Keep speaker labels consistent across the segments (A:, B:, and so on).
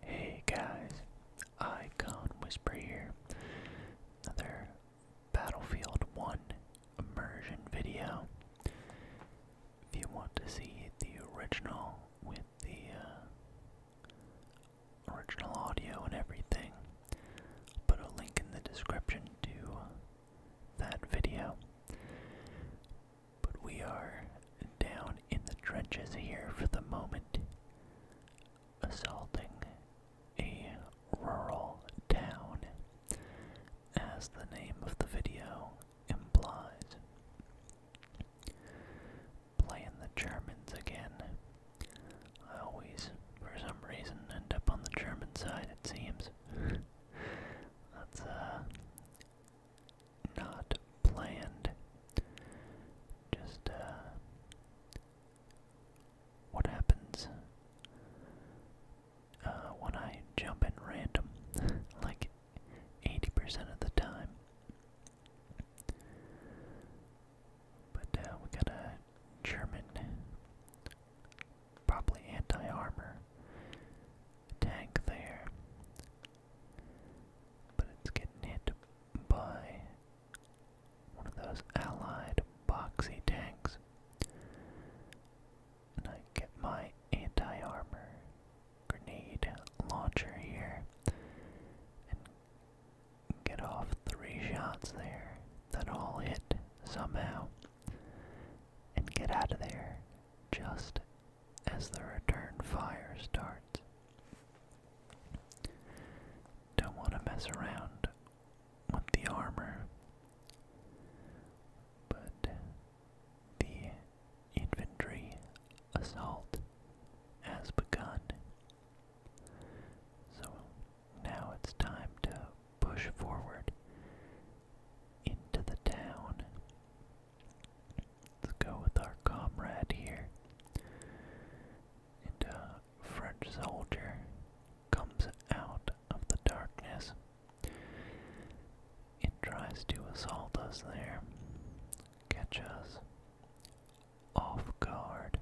A: Hey guys, Icon Whisper here. Another Battlefield 1 immersion video. If you want to see the original with the uh, original audio and everything, I'll put a link in the description to that video. But we are down in the trenches here for the moment, assaulting a rural town, as the name of the video implies. Playing the Germans again. I always, for some reason, end up on the German side, it seems. That's, uh, not planned. Just, uh, what happens uh, when I jump in random, like 80% of the time. But uh, we got a German, probably anti armor, tank there. But it's getting hit by one of those allied boxy tanks. And I get my anti armor grenade launcher here and get off three shots there that all hit somehow and get out of there just as the return fire starts. Don't want to mess around with the armor, but the infantry assault has begun. So now it's time to push forward into the town. Let's go with our comrade here. And a French soldier comes out of the darkness It tries to assault us there, catch us off guard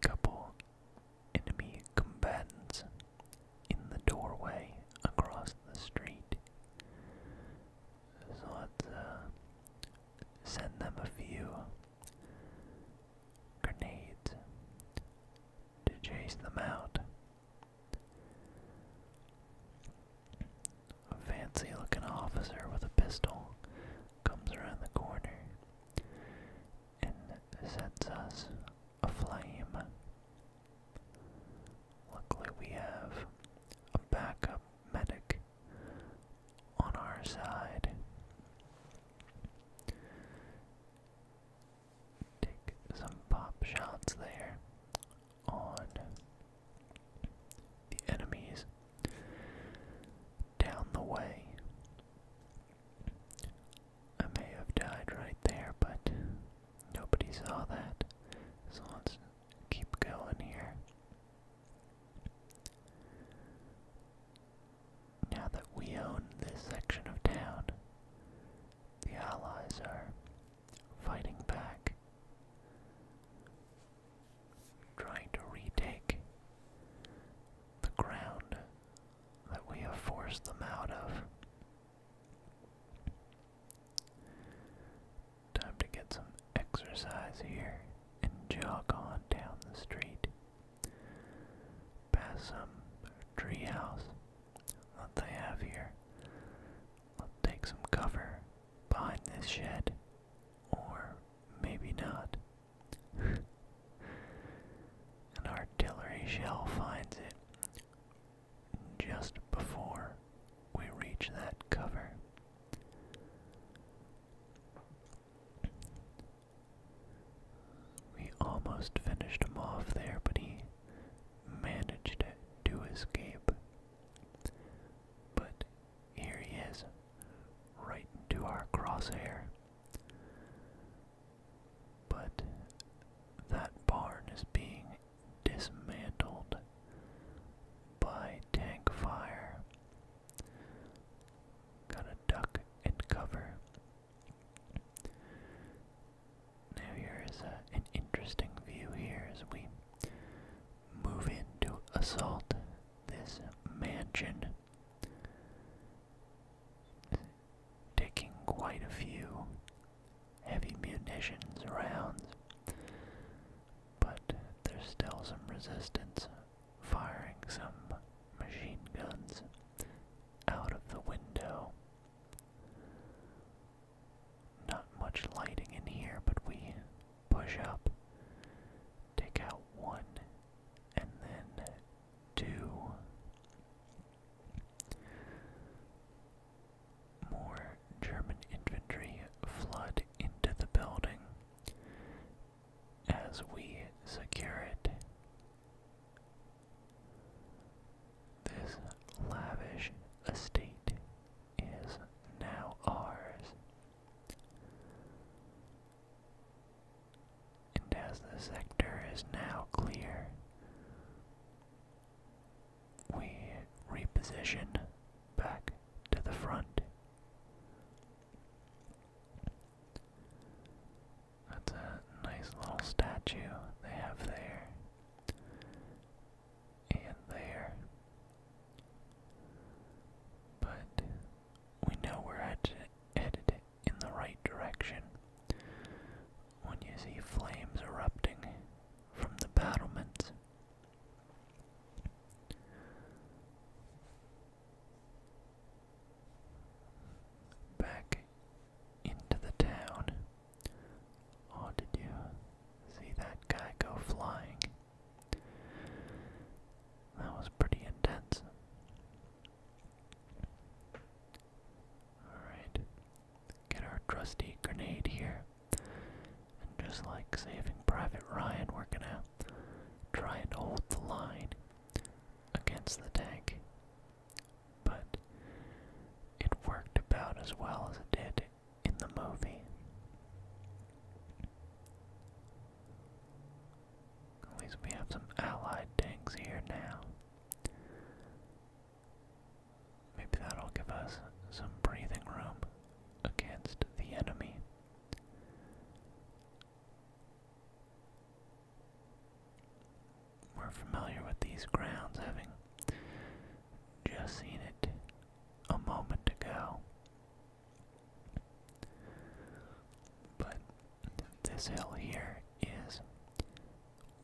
A: couple enemy combatants in the doorway across the street. So let uh, send them a few grenades to chase them out. A fancy looking officer with a pistol comes around the corner and sets us aflame. Luckily, we have a backup medic on our side. Take some pop shots there on the enemies down the way. I may have died right there, but nobody saw that. So let's keep going here. Now that we own this section of town, the Allies are fighting back trying to retake the ground that we have forced them out of. Time to get some exercise here and jog on down the street. Past some treehouse that they have here. Let's take some cover behind this shed or maybe not. An artillery shell finds it just before we reach that cover. We almost finished him off there, but he managed to escape. But here he is, right into our crosshair. But that barn is being dismantled by tank fire. Gotta duck and cover. Now, here is an interesting view here as we move in to assault this mansion, taking quite a few heavy munitions rounds. But there's still some resistance, firing some machine guns out of the window. Not much lighting in here, but we push up, take out one, and then two. More German infantry flood into the building as we secure it. This lavish estate is now ours. And as the sector is now clear, we reposition back to the front. That's a nice little statue they have there and there. But we know we're headed in the right direction when you see flames erupting from the battlements. Back into the town. Oh, did you see that guy go flying? That was pretty intense. Alright, get our trusty grenade here. And just like saving Private Ryan, working out, gonna try and hold the line against the tank but it worked about as well as it did in the movie. At least we have some allied tanks here now. Maybe that'll give us some breathing room against the enemy. We're familiar with these grounds, having just seen it a moment ago. But this hill here is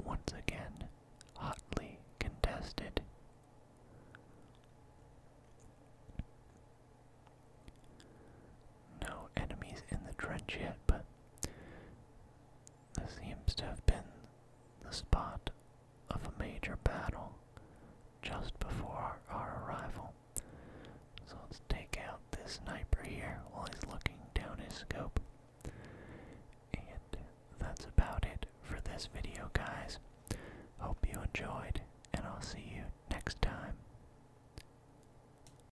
A: once again hotly contested. No enemies in the trench yet, but this seems to have been the spot of a major battle just before our arrival. So let's take out this sniper here while he's looking down his scope. And that's about it for this video, guys. Hope you enjoyed, and I'll see you next time.